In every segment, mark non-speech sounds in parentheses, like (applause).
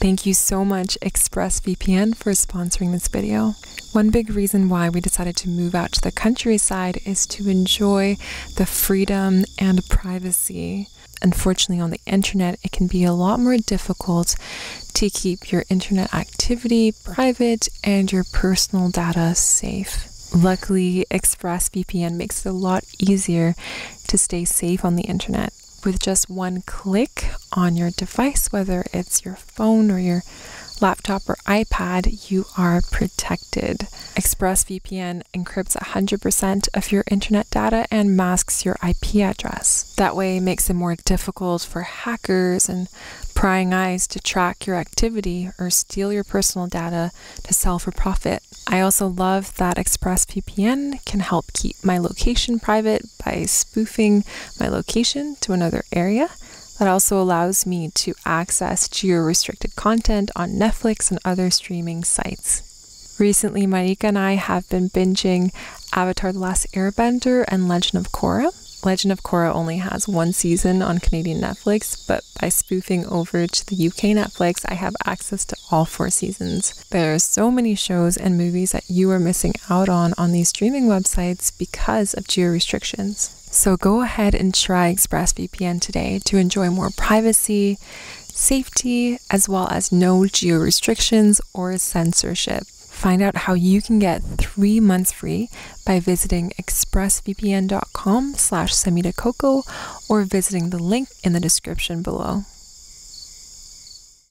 Thank you so much ExpressVPN for sponsoring this video. One big reason why we decided to move out to the countryside is to enjoy the freedom and privacy. Unfortunately, on the internet, it can be a lot more difficult to keep your internet activity private and your personal data safe. Luckily, ExpressVPN makes it a lot easier to stay safe on the internet with just one click on your device, whether it's your phone or your laptop or iPad, you are protected. ExpressVPN encrypts 100% of your internet data and masks your IP address. That way makes it more difficult for hackers and prying eyes to track your activity or steal your personal data to sell for profit. I also love that ExpressVPN can help keep my location private by spoofing my location to another area. That also allows me to access geo restricted content on Netflix and other streaming sites. Recently, Marika and I have been binging Avatar The Last Airbender and Legend of Korra. Legend of Korra only has one season on Canadian Netflix, but by spoofing over to the UK Netflix, I have access to all four seasons. There are so many shows and movies that you are missing out on on these streaming websites because of geo restrictions. So go ahead and try ExpressVPN today to enjoy more privacy, safety, as well as no geo restrictions or censorship. Find out how you can get three months free by visiting expressvpn.com slash semitacoco or visiting the link in the description below.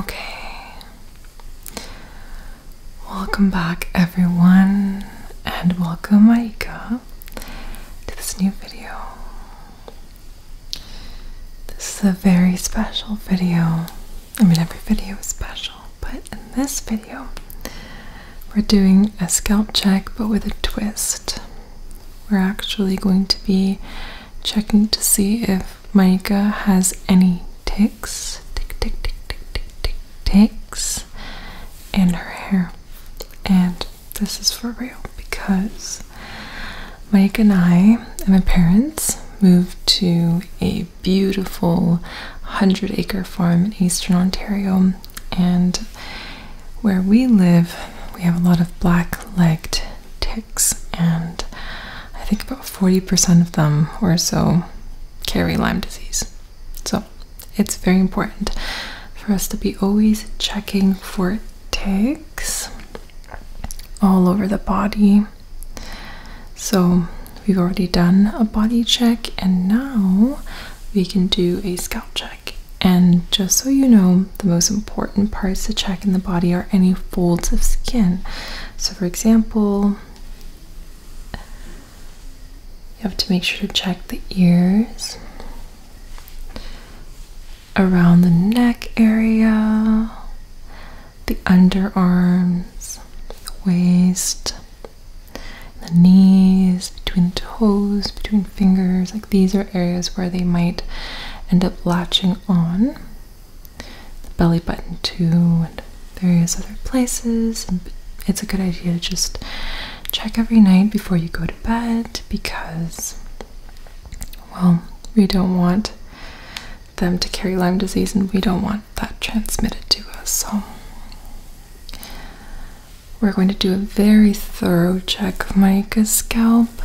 Okay. Welcome back, everyone, and welcome, Aika to this new video. This is a very special video. I mean, every video is special, but in this video, we're doing a scalp check but with a twist. We're actually going to be checking to see if Maika has any ticks. Tick, tick, tick, tick, tick, tick, ticks. And her hair. And this is for real because Mike and I and my parents moved to a beautiful 100 acre farm in eastern Ontario. And where we live, we have a lot of black legged ticks, and I think about 40% of them or so carry Lyme disease. So it's very important for us to be always checking for ticks all over the body. So we've already done a body check, and now we can do a scalp check. And just so you know, the most important parts to check in the body are any folds of skin. So, for example, you have to make sure to check the ears, around the neck area, the underarms, the waist, the knees, between toes, between fingers. Like these are areas where they might end up latching on. The belly button, too, and various other places it's a good idea to just check every night before you go to bed because, well, we don't want them to carry Lyme disease and we don't want that transmitted to us. So, we're going to do a very thorough check of Monica's scalp,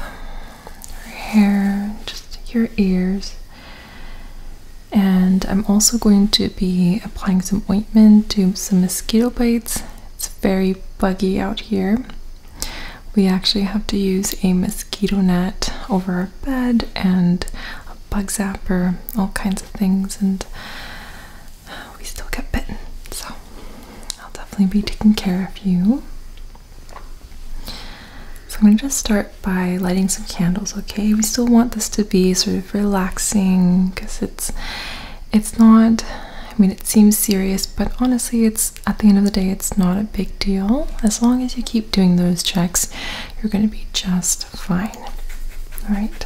her hair, just your ears. And I'm also going to be applying some do some mosquito bites. It's very buggy out here. We actually have to use a mosquito net over our bed and a bug zapper, all kinds of things, and we still get bitten. So I'll definitely be taking care of you. So I'm going to just start by lighting some candles, okay? We still want this to be sort of relaxing because it's it's not I mean it seems serious, but honestly it's at the end of the day it's not a big deal. As long as you keep doing those checks, you're gonna be just fine. Alright.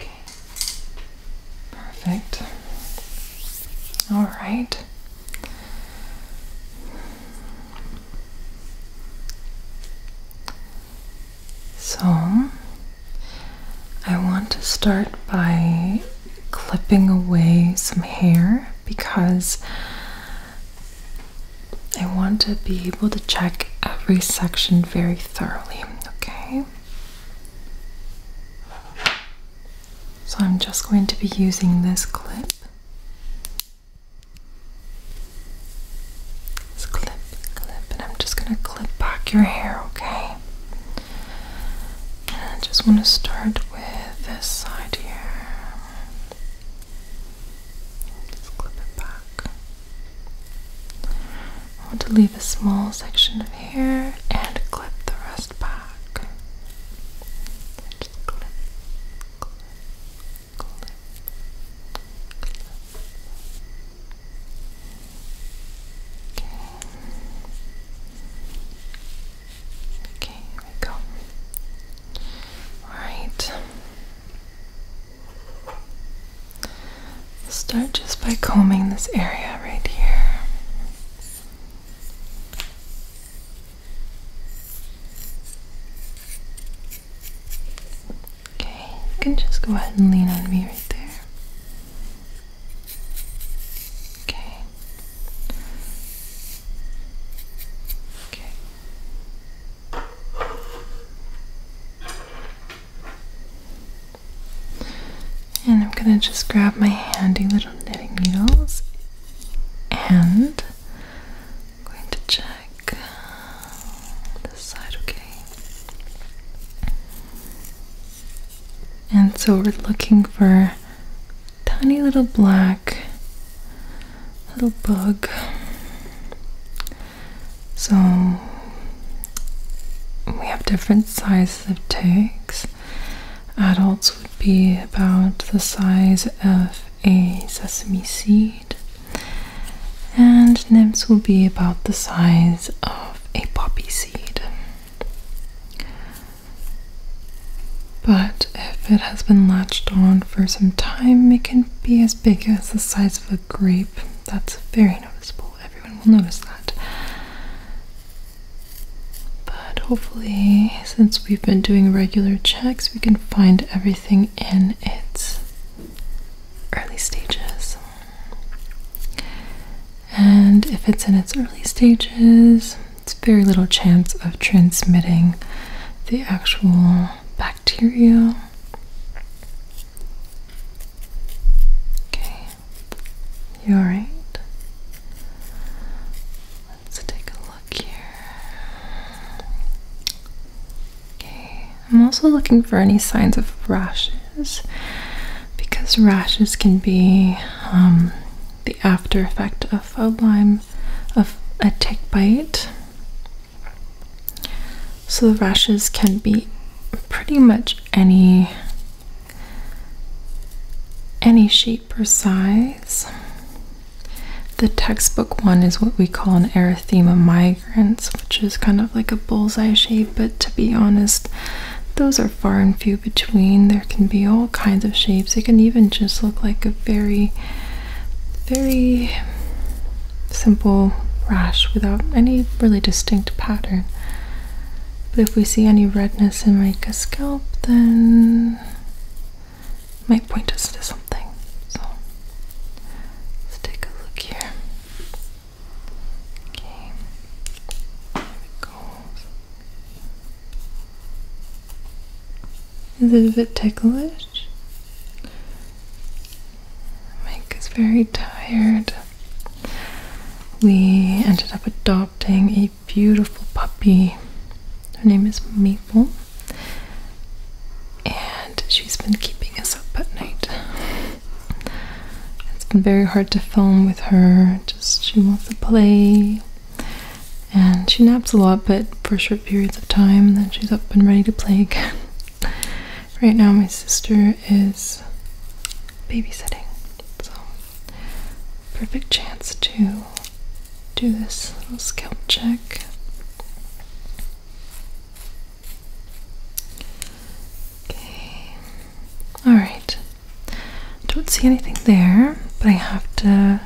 Okay. Perfect. All right. So, I want to start by clipping away some hair because I want to be able to check every section very thoroughly, okay? So I'm just going to be using this clip. This clip, clip, and I'm just going to clip back your hair, okay? And I just want to start with this side here just clip it back. I want to leave a small section of hair and clip the rest back. just clip, clip, clip, clip. Okay. Okay, here we go. Alright. Start just by combing this area right here. Okay, you can just go ahead and lean on me right there. Okay. Okay. And I'm going to just grab my handy little knitting needles and going to check uh, this side, okay? And so we're looking for tiny little black little bug. So we have different sizes of tags. Adults would be about the size of a sesame seed, and nymphs will be about the size of a poppy seed. But if it has been latched on for some time, it can be as big as the size of a grape. That's very noticeable. Everyone will notice that. But hopefully, since we've been doing regular checks, we can find everything in its early stages. And if it's in its early stages, it's very little chance of transmitting the actual back bacteria. Okay, you alright? Let's take a look here. Okay, I'm also looking for any signs of rashes because rashes can be um, the aftereffect of a Lyme, of a tick bite. So the rashes can be pretty much any any shape or size. The textbook one is what we call an erythema migrans, which is kind of like a bullseye shape, but to be honest, those are far and few between. There can be all kinds of shapes. It can even just look like a very very simple rash without any really distinct pattern. But if we see any redness in like a then it might point us to something. So let's take a look here. Okay, there Is it a bit ticklish? Mike is very tired. We ended up adopting a beautiful puppy. Her name is Maple, and she's been keeping us up at night. It's been very hard to film with her, just she wants to play. And she naps a lot, but for sure periods of time, then she's up and ready to play again. (laughs) right now, my sister is babysitting, so perfect chance to do this little scalp check. Okay, alright. Don't see anything there, but I have to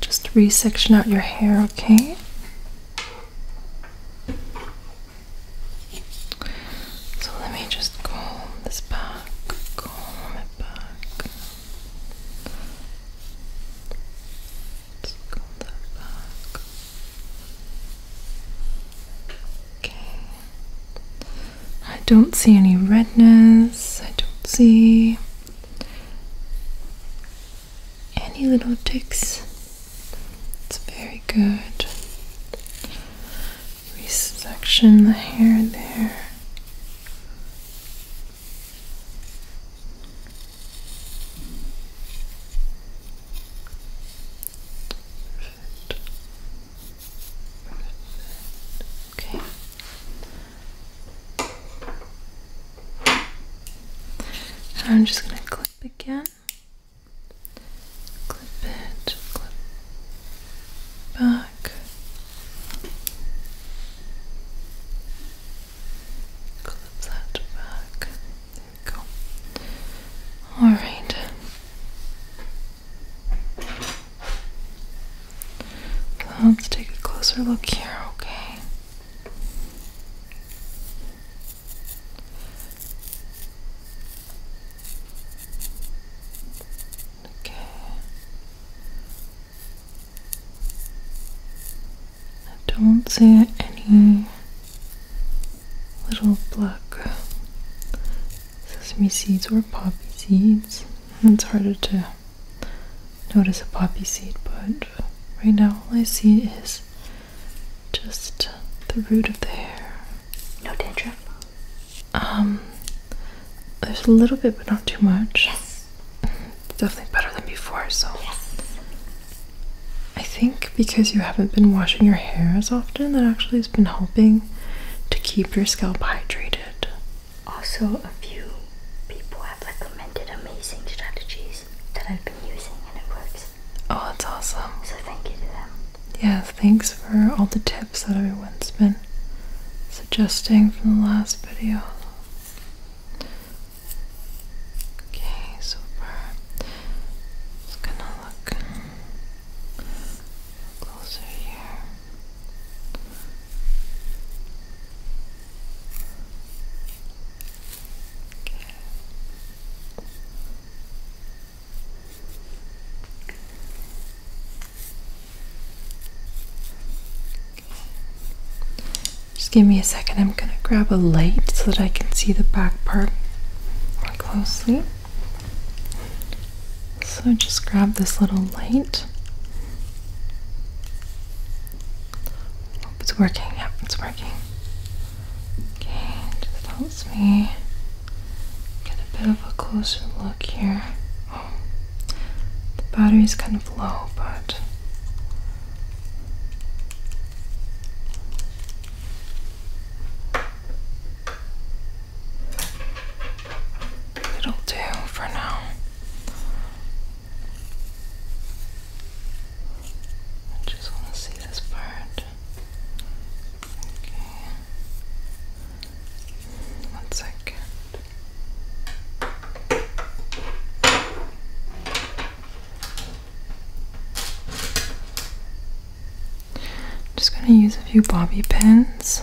just resection out your hair, okay? So let me just comb this back, comb it back. Let's comb that back. Okay. I don't see any redness. I don't see any little ticks. It's very good. Resection the hair there. Okay. I'm just going to clip again. Clip it, clip back, clip that back. There we go. All right let's take a closer look here, okay? Okay. I don't see any little black sesame seeds or poppy seeds. It's harder to notice a poppy seed, but right now all I see is just the root of the hair. No dandruff? Um, there's a little bit, but not too much. Yes. It's definitely better than before, so. Yes. I think because you haven't been washing your hair as often, that actually has been helping to keep your scalp hydrated. Also, a few people have recommended amazing strategies that I've been using and it works. Oh, it's awesome. So, thank you to them. Yeah, thanks for all the tips that everyone's been suggesting from the last video. Okay, so far, just gonna look closer here. Just give me a second. I'm going to grab a light so that I can see the back part more closely. So just grab this little light. Oh, it's working. Yep, it's working. Okay, just helps me get a bit of a closer look here. Oh, the battery's kind of low, but. It'll do for now. I just want to see this part. Okay. One second. I'm just going to use a few bobby pins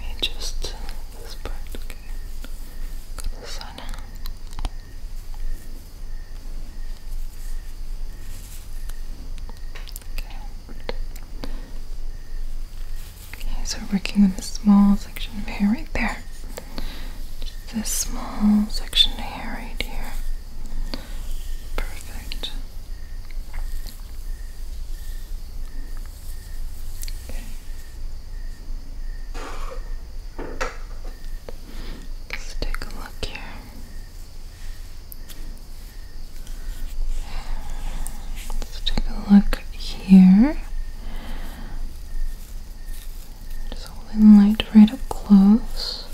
Maybe just this part, okay. Got the sun. Okay. working on a small section of hair right there this small section here, right here. Perfect. Okay. Let's take a look here. Let's take a look here. Just holding the light right up close. okay.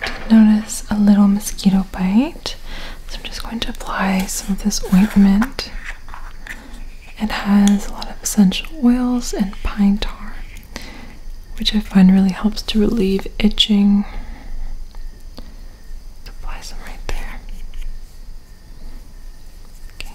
I did notice a little mosquito bite, so I'm just going to apply some of this ointment. It has a lot of essential oils and pine tar, which I find really helps to relieve itching. apply some right there. Okay.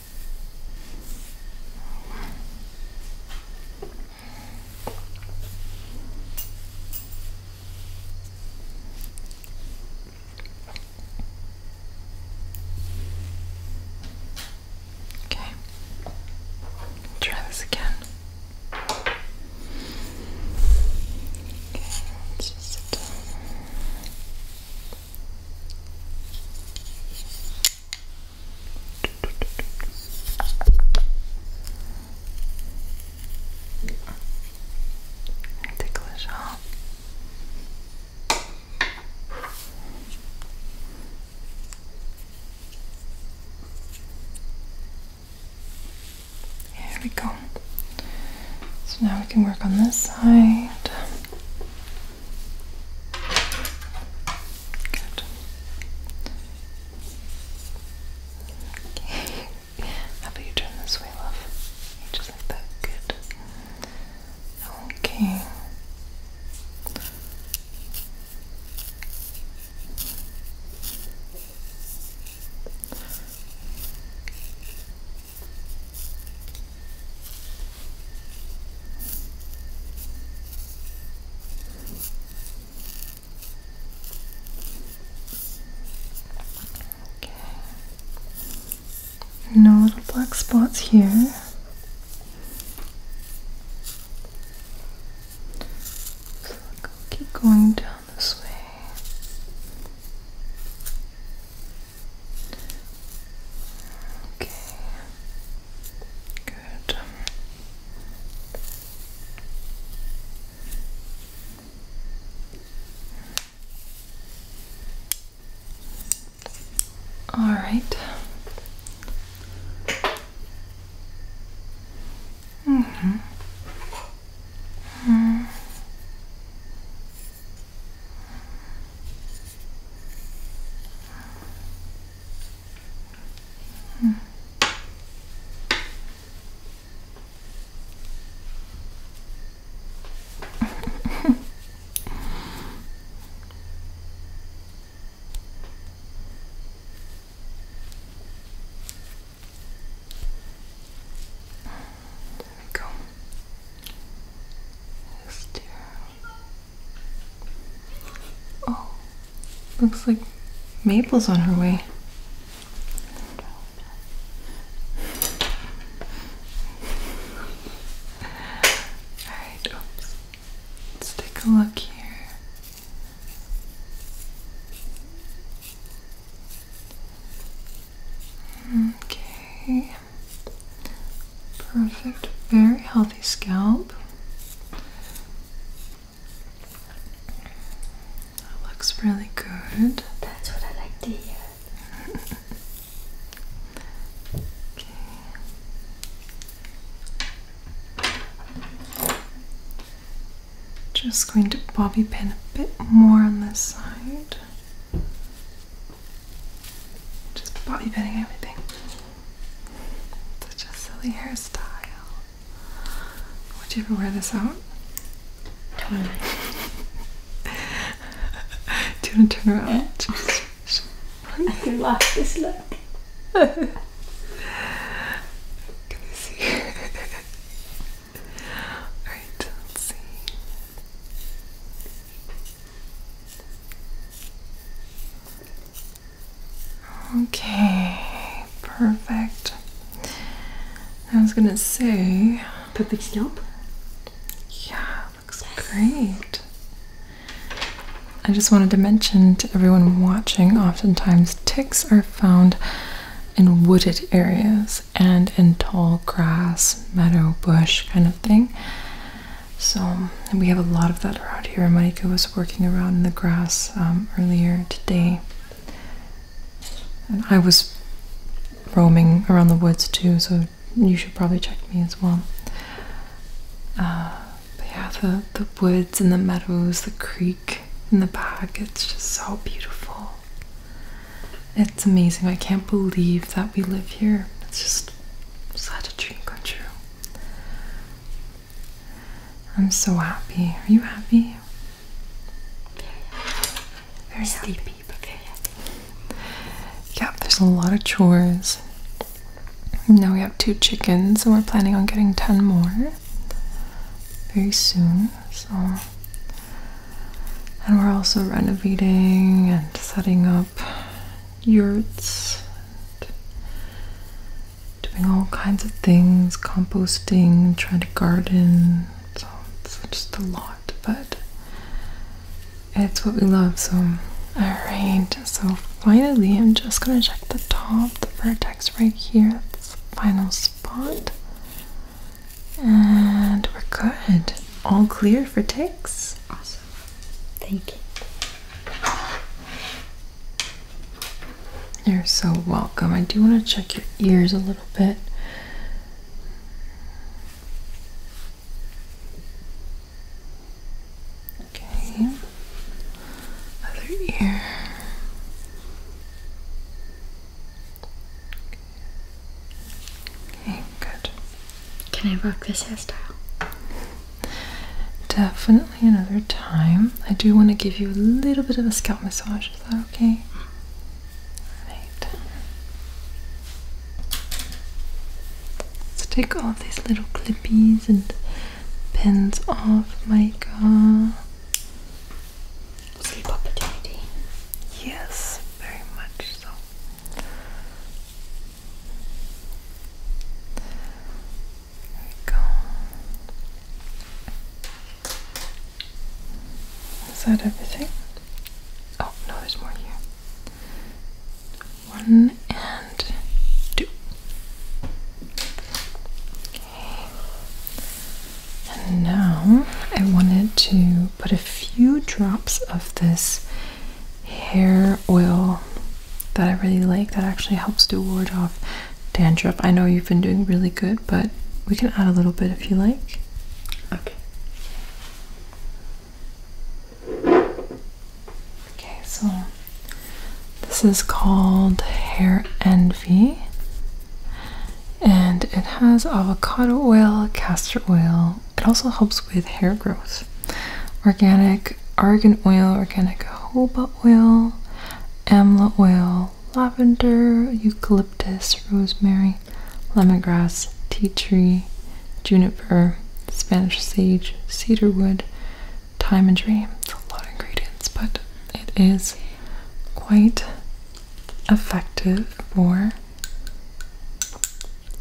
Okay. Try this again. Okay, just sit down. Take Here we go. So now we can work on this side. Good. Okay. (laughs) How about you turn this way, love? just like that. Good. Okay. No little black spots here. keep going down this way. Okay. Good. All right. Mm -hmm. Hmm. (laughs) there we go. Just here Oh, looks like Maple's on her way. Alright, Let's take a look here. Hmm, okay. Perfect, very healthy scalp. That looks really good. That's what I like to hear. Just going to bobby pin a bit more on this side. Just bobby pinning everything. Such a silly hairstyle. Would you ever wear this out? (laughs) Do you want to turn around? (laughs) I can laugh this look. (laughs) Can you see? Alright, see. Okay, perfect. I was gonna say. Perfect scalp? Yeah, looks great. I just wanted to mention to everyone watching oftentimes ticks are found in wooded areas and in tall grass, meadow, bush kind of thing. So we have a lot of that around here. Monica was working around in the grass um, earlier today, and I was roaming around the woods too. So you should probably check me as well. Uh, but yeah, the the woods and the meadows, the creek and the back, it's just so beautiful. It's amazing. I can't believe that we live here. It's just such a dream come true. I'm so happy. Are you happy? Very sleepy, happy. there's a lot of chores. Now we have two chickens, and we're planning on getting 10 more very soon. So, and we're also renovating and setting up yurts, doing all kinds of things, composting, trying to garden. So it's just a lot, but it's what we love. So, all right. So finally, I'm just gonna check the top, the vertex right here. the final spot, and we're good. All clear for ticks. Awesome. Thank you. You're so welcome. I do want to check your ears a little bit. Okay. Other ear. Okay, good. Can I rock this hairstyle? Definitely another time. I do want to give you a little bit of a scalp massage. Is that okay? Right. Let's take all these little clippies and pins off, Micah. Sleep opportunity. Yes, very much so. There we go. Is that everything? Oh, no, there's more here. One and two. Okay. And now I wanted to put a few drops of this hair oil that I really like that actually helps to ward off dandruff. I know you've been doing really good, but we can add a little bit if you like. Okay. Okay, so this is called Hair Envy. And it has avocado oil, castor oil. It also helps with hair growth organic argan oil, organic jojoba oil, amla oil, lavender, eucalyptus, rosemary, lemongrass, tea tree, juniper, Spanish sage, cedarwood, thyme and dream. It's a lot of ingredients, but it is quite effective for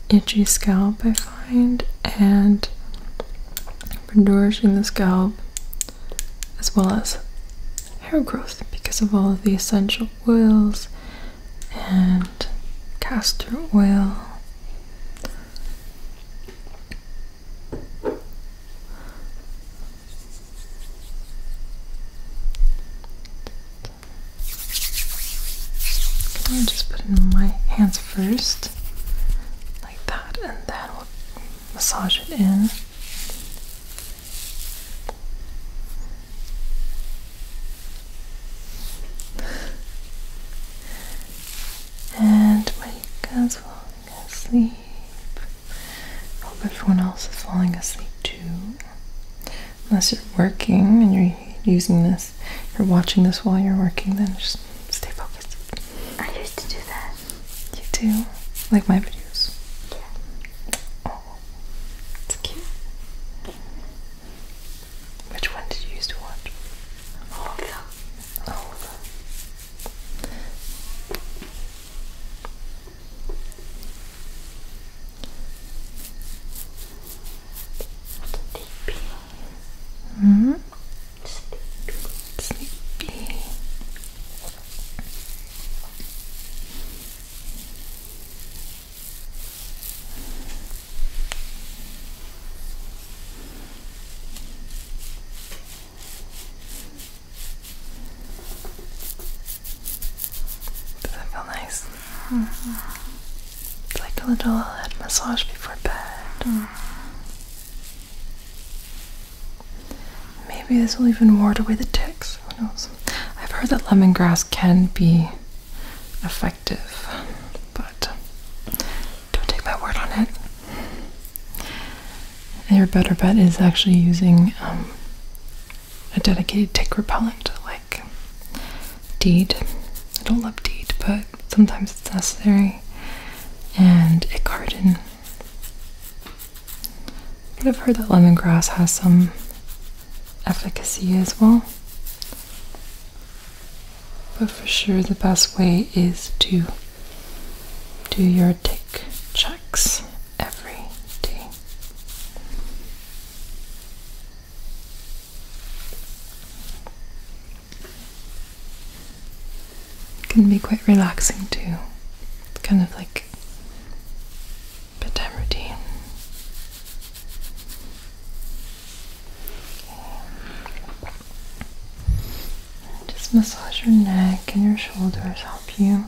itchy scalp, defined and for nourishing the scalp as well as hair growth because of all of the essential oils and castor oil. Can I just put in my hands first, like that, and then we'll massage it in. And wake as falling asleep. Hope everyone else is falling asleep too. Unless you're working and you're using this, you're watching this while you're working, then just Stay focused. I used to do that. You do? Like my videos? Yeah. Oh, it's cute. Which one did you used to watch? All of them. All of them. Deep -hmm. Sleepy. Does that feel nice? -hmm. It's like a little head massage before bed. Mm. Maybe this will even ward away the ticks. Who knows? I've heard that lemongrass can be effective, but don't take my word on it. your better bet is actually using um, a dedicated tick repellent like DEET. I don't love DEET, but sometimes it's necessary, and a garden. But I've heard that lemongrass has some efficacy as well. But for sure, the best way is to do your tick checks every day. It can be quite relaxing too. It's kind of like bedtime routine. Just massage your neck and your shoulders, help you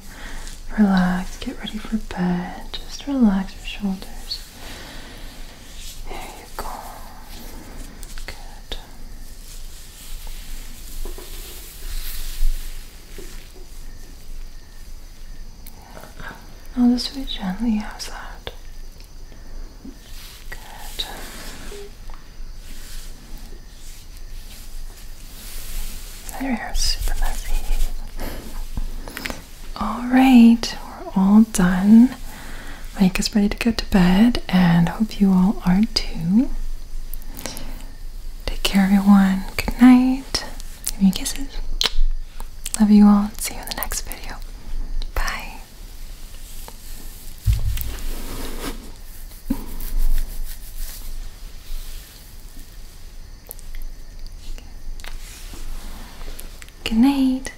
relax, get ready for bed. Just relax your shoulders. There you go. Good. i just very gently. How's Good. Your hair is super messy. All right, we're all done. Mike is ready to go to bed, and hope you all are too. Take care, everyone. Good night. Give me kisses. Love you all. See you in the next video. Bye. Good night.